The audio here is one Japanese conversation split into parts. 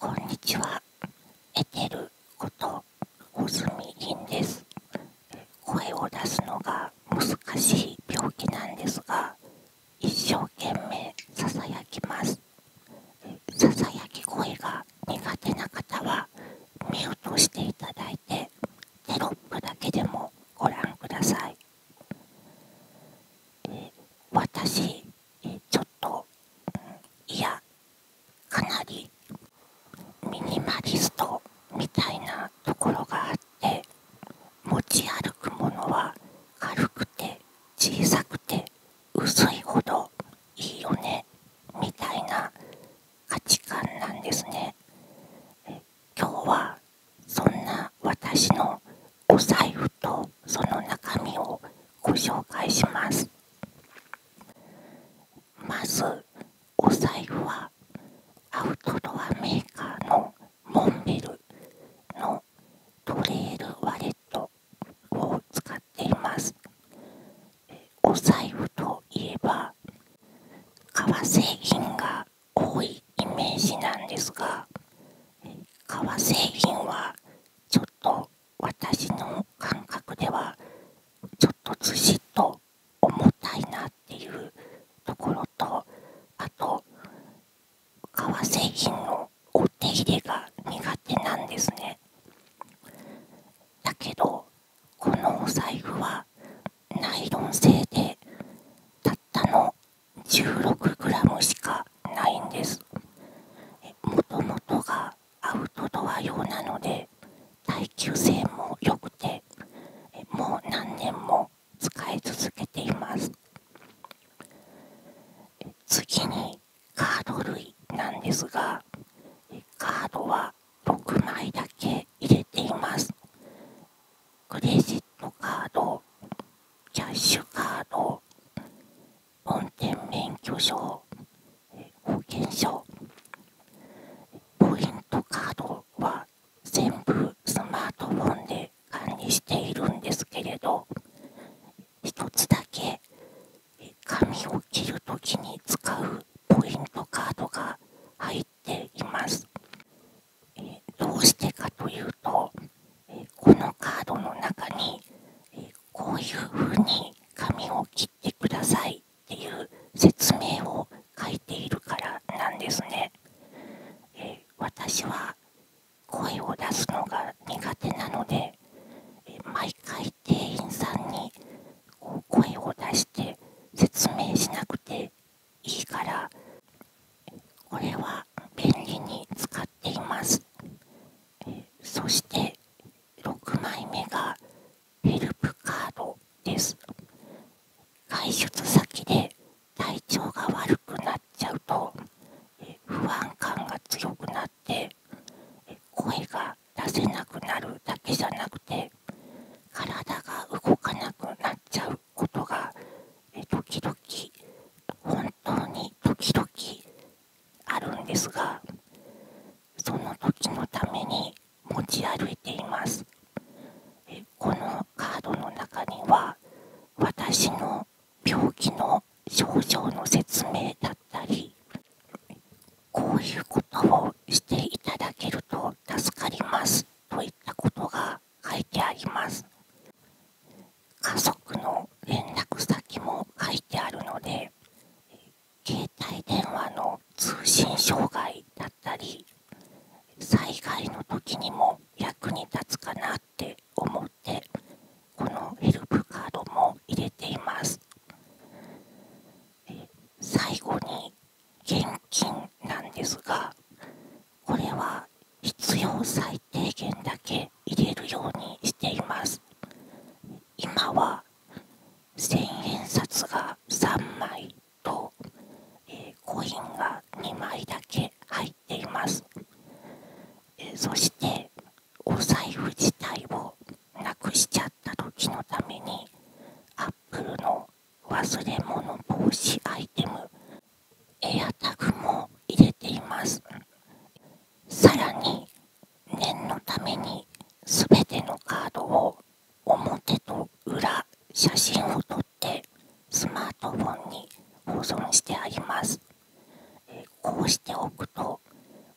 こんにちは。エテルこと穂積凛です。声を出すのが難しい病気なんですが、一生懸命ささやきます。ささやき声が苦手な方は目をートしていただいて、テロップだけでもご覧ください。私えちょっと、いやかなりミニマリストみたいなところがあって持ち歩くものは軽くて小さくて薄いほどいいよねみたいな価値観なんですね。今日はそんな私のお財布とその中身をご紹介しますまずお財布はアウトドアメーカーのモンベルのトレイルワレットを使っていますお財布といえば革製品が多いイメージなんですが革製品はちょっと私の感覚ではちょっとずしっと重たいなっていうところとあと革製品のお手入れが苦手なんですね。だけどこのお財布はナイロン製でたったの 16g しかないんですもともとがアウトドア用なので耐久性も良くてもう何年も使い続けています次にカード類なんですがカードは6枚だけ入れていますクレジットカードキャッシュカード運転免許証保険証ポイントカードは全部スマートフォンで管理しているんですけれど一つだけ紙を切るときに使うポイントカードが入っています。どうしてかというとこのカードの中にえこういう風に紙を切ってくださいっていう説明を書いているからなんですね。え私は声を出すのが苦手なので毎回店員さんにこう声を出して説明しなくていいからこれは便利に使っていますそして6枚目がヘルプカードです外出先で体調が悪くなっちゃうと不安感が強くなって声が出せなくなるだけじゃなくて体が動かなくなっちゃうことが時々本当に時々あるんですがその時のために持ち歩いていますこのカードの中には私の病気の症状の説明だったりこういうことをしていただけると助かりますといったことが書いてあります家族の連絡先も書いてあるので携帯電話の通信障害だったり災害の時にも役に立つかなって思ってこのヘルプカードも入れています最後に現金なんですがこれは必要最低限だけ入れるようにしています今は千円札が3枚と、コインが2枚だけ入っています、そしてお財布自体をなくしちゃった時のためにアップルの忘れ物防止アイテムエアタグも入れていますさらに念のために全てのカードを表と裏写真を撮ってスマートフォンに保存してありますこうしておくと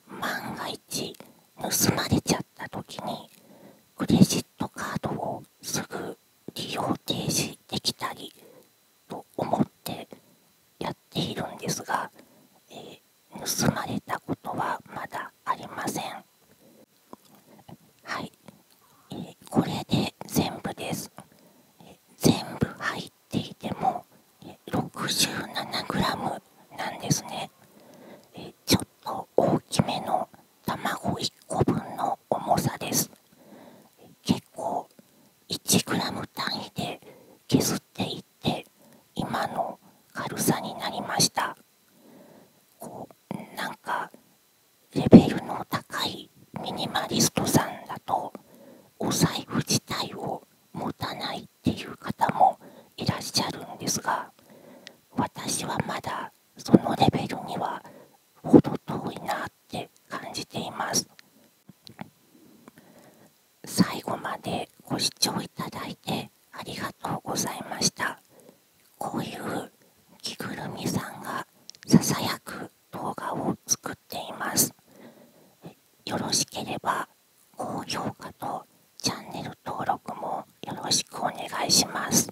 万が一盗まれちゃった時にクレジットカードをすぐ利用停止できたりと思ってやっているんですが、え盗まれたことはまだありませんはい、えこれで全部です、全部入っていても、え 67g なんですね、えちょっと大きめの卵1個分の重さです結構 1g 単位で削っていって今の軽さになりましたこうなんかレベルの高いミニマリストさんだとお財布自体を持たないっていう方もいらっしゃるんですが私はまだそのレベルには程遠いなって感じています最後までご視聴いただいてありがとうございましたこういう着ぐるみさんがささやく動画を作っていますよろしければ高評価とチャンネル登録もよろしくお願いします